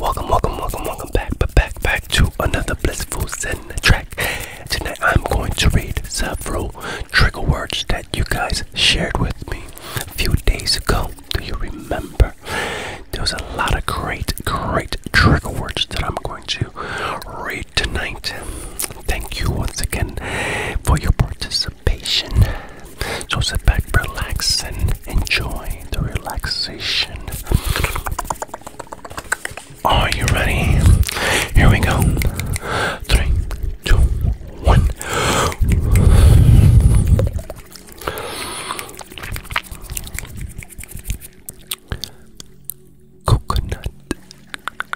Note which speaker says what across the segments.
Speaker 1: Welcome, welcome, welcome, welcome back, but back, back to another blissful Zen track. Tonight I'm going to read several trigger words that you guys shared with me a few days ago. Do you remember? There was a lot of great, great trigger words that I'm going to read tonight. Thank you once again for your participation participation. So sit back, relax, and enjoy the relaxation. Are you ready? Here we go. Three, two, one. Coconut,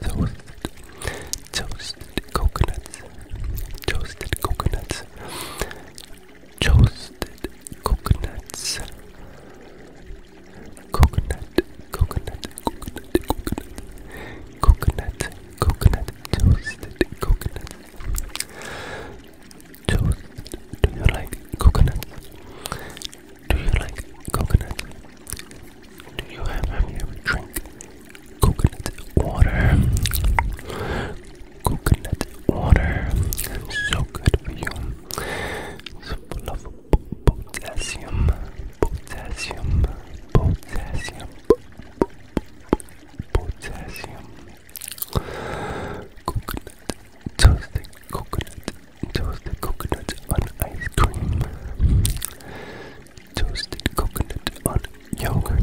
Speaker 1: toast, toasted coconuts, toasted coconuts, toasted coconuts, coconut, coconut, coconut, coconut, coconut, coconut, toasted coconut, toast. Do you like coconut? Do you like coconut? do you ever drink coconut water? Coconut water, so good for you. It's full of potassium, potassium, potassium, potassium. Coconut, toasted coconut, toasted coconut on ice cream toasted coconut on yogurt.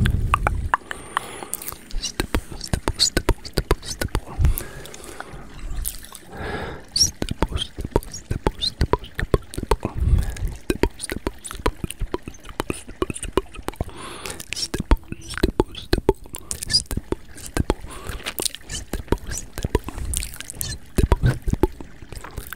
Speaker 1: Stipple, stipple, stipple, stipple, stipple. Stipple, stipple, stipple, stipple, stipple, stipple. Stipple, stipple, stipple, stipple, stipple, stipple, stipple, stipple. Stipple, stipple, stipple, stipple, stipple, stipple, stipple,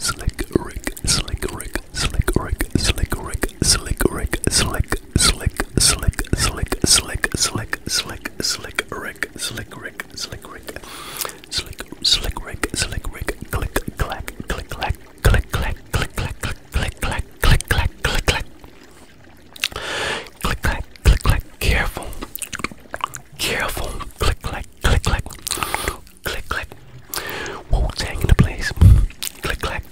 Speaker 1: Slick Rick, Slick Rick, Slick Rick, Slick Rick, Slick Rick, Slick slick, slick, slick, slick, slick, slick, slick, rick, slick, rick, slick, rick, slick, slick, rick, slick, rick, click, clack, click, clack, click, clack, click, clack, click, clack, click, clack, click, clack, click, clack, click, clack, careful, careful, click, clack, click, clack, click, clack, Wu Tang in the place, click, clack.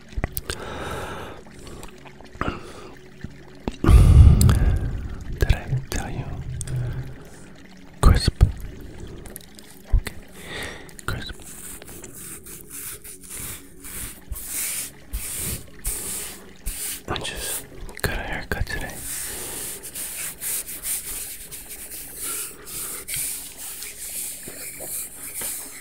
Speaker 1: Did I tell you? Crisp. Okay. Crisp. I just got a haircut today.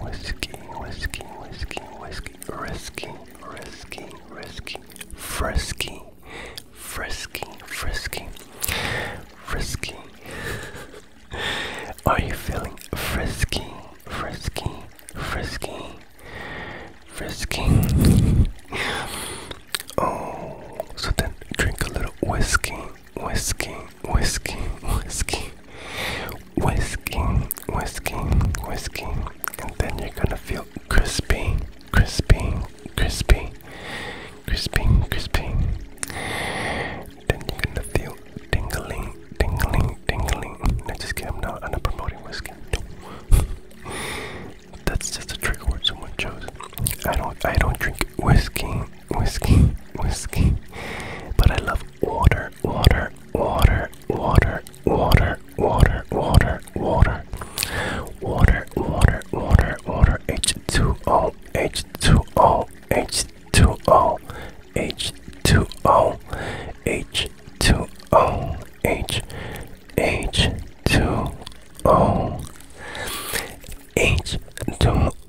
Speaker 1: whiskey, whiskey, whiskey, whiskey, risky, risky, risky, frisky, frisky, frisky, frisky. Are you feeling frisky, frisky, frisky, frisky? Oh, so then drink a little whiskey, whiskey, whiskey, whiskey, whiskey, whiskey, whiskey, and then you're gonna feel crispy, crispy, crispy, crispy, crispy. Then you're gonna feel tingling, tingling, tingling. No, just kidding. I'm not. I'm not promoting whiskey. No. That's just a trigger word someone chose. I don't. I don't drink whiskey, whiskey, whiskey. But I love water, water, water, water, water, water, water, water, water, water, water, water, H2O, H2O, H2O, H2O, H2O, H, H2O, H2O.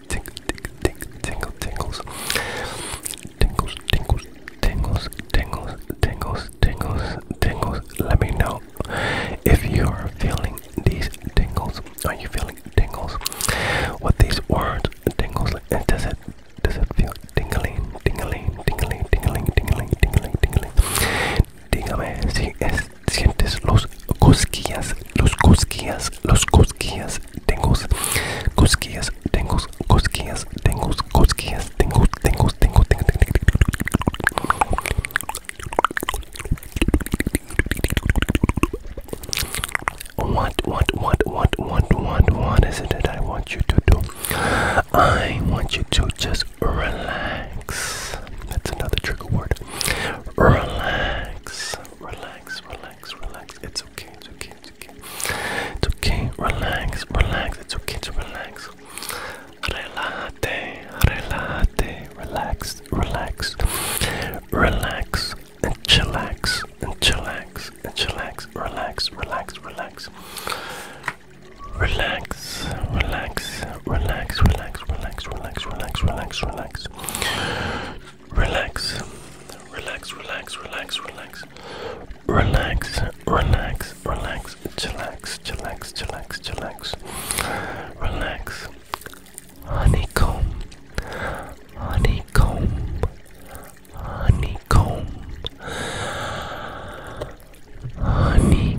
Speaker 1: tingle, tingle, tingle, tingles, tingles, tingles, tingles, tingles, tingles, tingles, tingles. Let me know if you are feeling these tingles. Are you feeling tingles? What these words tingles like? And does it does it feel tingling, tingling, tingling, tingling, tingling, tingling, tingling? Dígame si es sientes los cosquillas, los cosquillas, los cosquillas, tengo cosquillas, What, what, what, what, what, what, what is it that I want you to do? I want you to just relax. That's another trigger word. Relax relax, relax, relax, relax. It's okay, it's okay, it's okay. It's okay, relax, relax. It's okay to relax. Relate, relate, relax, relax, relax, and chillax, and chillax, and chillax, relax, relax, relax. Relax, relax, relax, relax, relax, relax, relax, relax, relax just relax, relax, relax, relax, relax, relax, relax, relax, chillax, chillax, chillax, chillax, relax, honeycomb, honeycomb, honeycomb, honey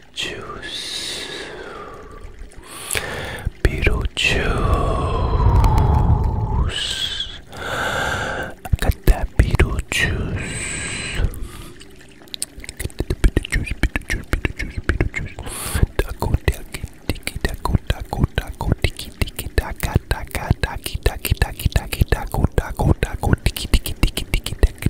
Speaker 1: Beetlejuice. Beetlejuice. Got that Beetlejuice. Get the Beetlejuice, Beetlejuice, Beetlejuice, Beetlejuice. Taco, tiki, tiki, taco, taco, taco, tiki, tiki, taka, taka, taki, taki, taki, taki, taco, taco, taco, tiki, tiki, tiki, tiki, tiki,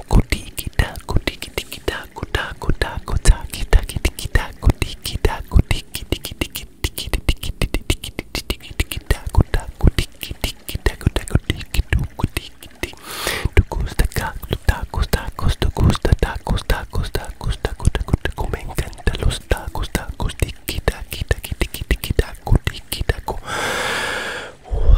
Speaker 1: tacos, tacos, te gusta tacos, tacos, tacos, tacos, tacos, me encanta los tacos, tacos, tiki, taqui, taqui, tiki, tiki, taco, tiki, taco. Wow.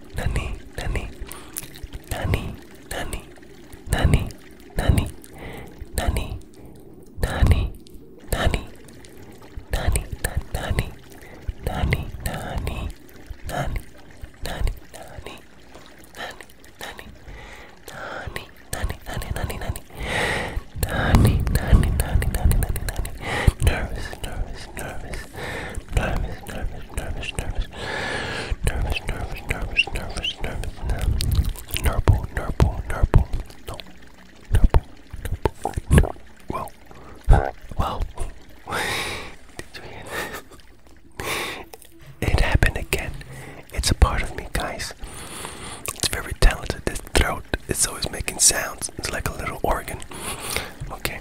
Speaker 1: nani, nani, nani, nani, nani, nani, nani, nani, nani, nani, nani, nani, nani, nani, nani, nani. Nani, nani, nani, nani, nani, nani, nani, nani, nani, nani, nani, nani, nani, nervous, nervous, nervous, nervous, nervous, nervous, nervous, nervous, nervous, nervous, nervous, nervous, nerble, nerble, nerble, no, nerble, nerble, well, well, it happened again. It's a part of me, guys. It's very talented. This throat, it's always making sounds. It's like a little organ. Okay.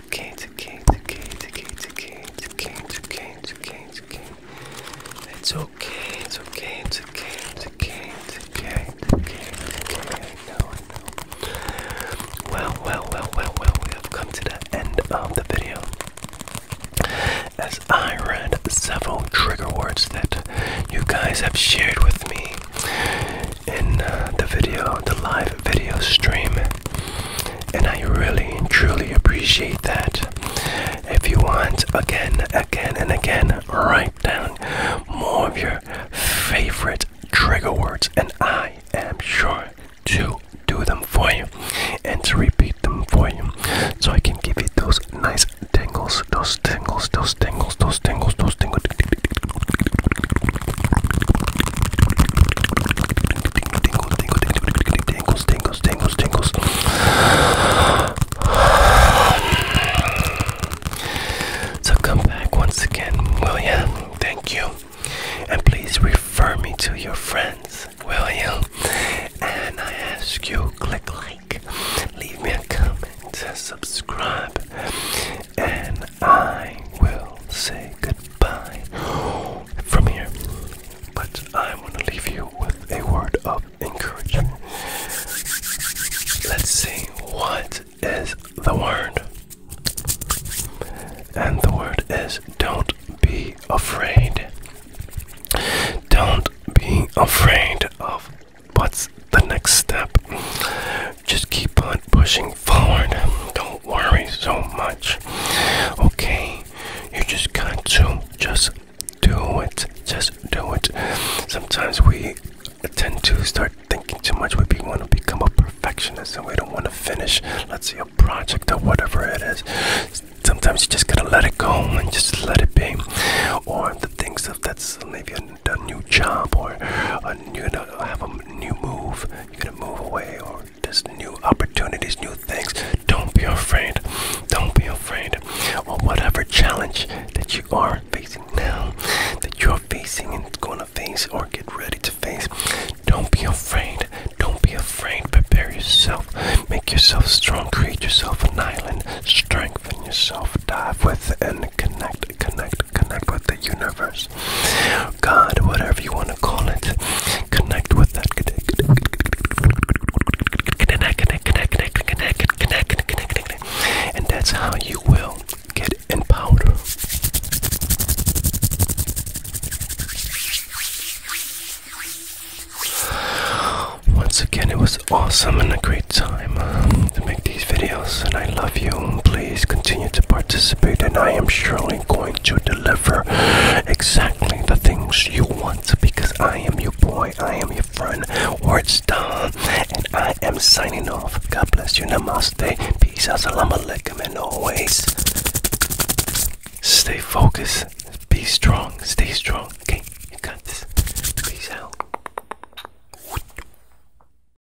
Speaker 1: okay, it's okay, it's okay, it's okay, it's okay, it's okay, it's okay, it's okay, it's okay. It's okay, it's okay, it's okay, it's okay, it's okay, it's okay, it's okay, I know, I know. Well, well, well, well, well, we have come to the end of the video. As I read several trigger words that you guys have shared with me, in uh, the video, the live video stream. And I really truly appreciate that. If you want, again, again, and again, write down more of your favorite trigger words, and I am sure to do them for you and to repeat them for you so I can give you those nice tingles, those tingles, those tingles, those tingles. Those tingles. So come back once again, will Thank you. And please refer me to your friends, will you? And I ask you, click like, leave me a comment, subscribe, and I will say goodbye from here. But I am going to leave you with a word of encouragement. Let's see, what is the word? And the word is don't be afraid. Don't be afraid of what's the next step just keep on pushing forward. Don't worry so much. Okay, you just got to just do it. Just do it. Sometimes we tend to start thinking too much. We want to become a perfectionist and we don't want to finish, let's say, a project or whatever it is. Sometimes you just gotta let it go and just let it be. Or the things that that's maybe a, new job or a, you know, have a new move. You're gonna move away or just new opportunities, new things. Don't be afraid. Don't be afraid. Or whatever challenge that you are facing now, that you're facing and gonna face or get ready to face. Don't be afraid. Don't be afraid. Prepare yourself. Make yourself strong. Create yourself an island. Strengthen yourself. Dive with and connect connect, connect, with the universe. God, whatever you want to call it, connect with that. Connect, connect, connect, connect, connect, connect, connect, connect, connect. And that's how you will get empowered. Once again, it was awesome and a great time um, to make these videos and I love you. Please continue to participate, and I am surely going to deliver exactly the things you want because I am your boy, I am your friend, Words Don, and I am signing off. God bless you. Namaste. Peace. Assalamu alaikum. And always stay focused. Be strong. Stay strong. Okay, you got this. Peace out.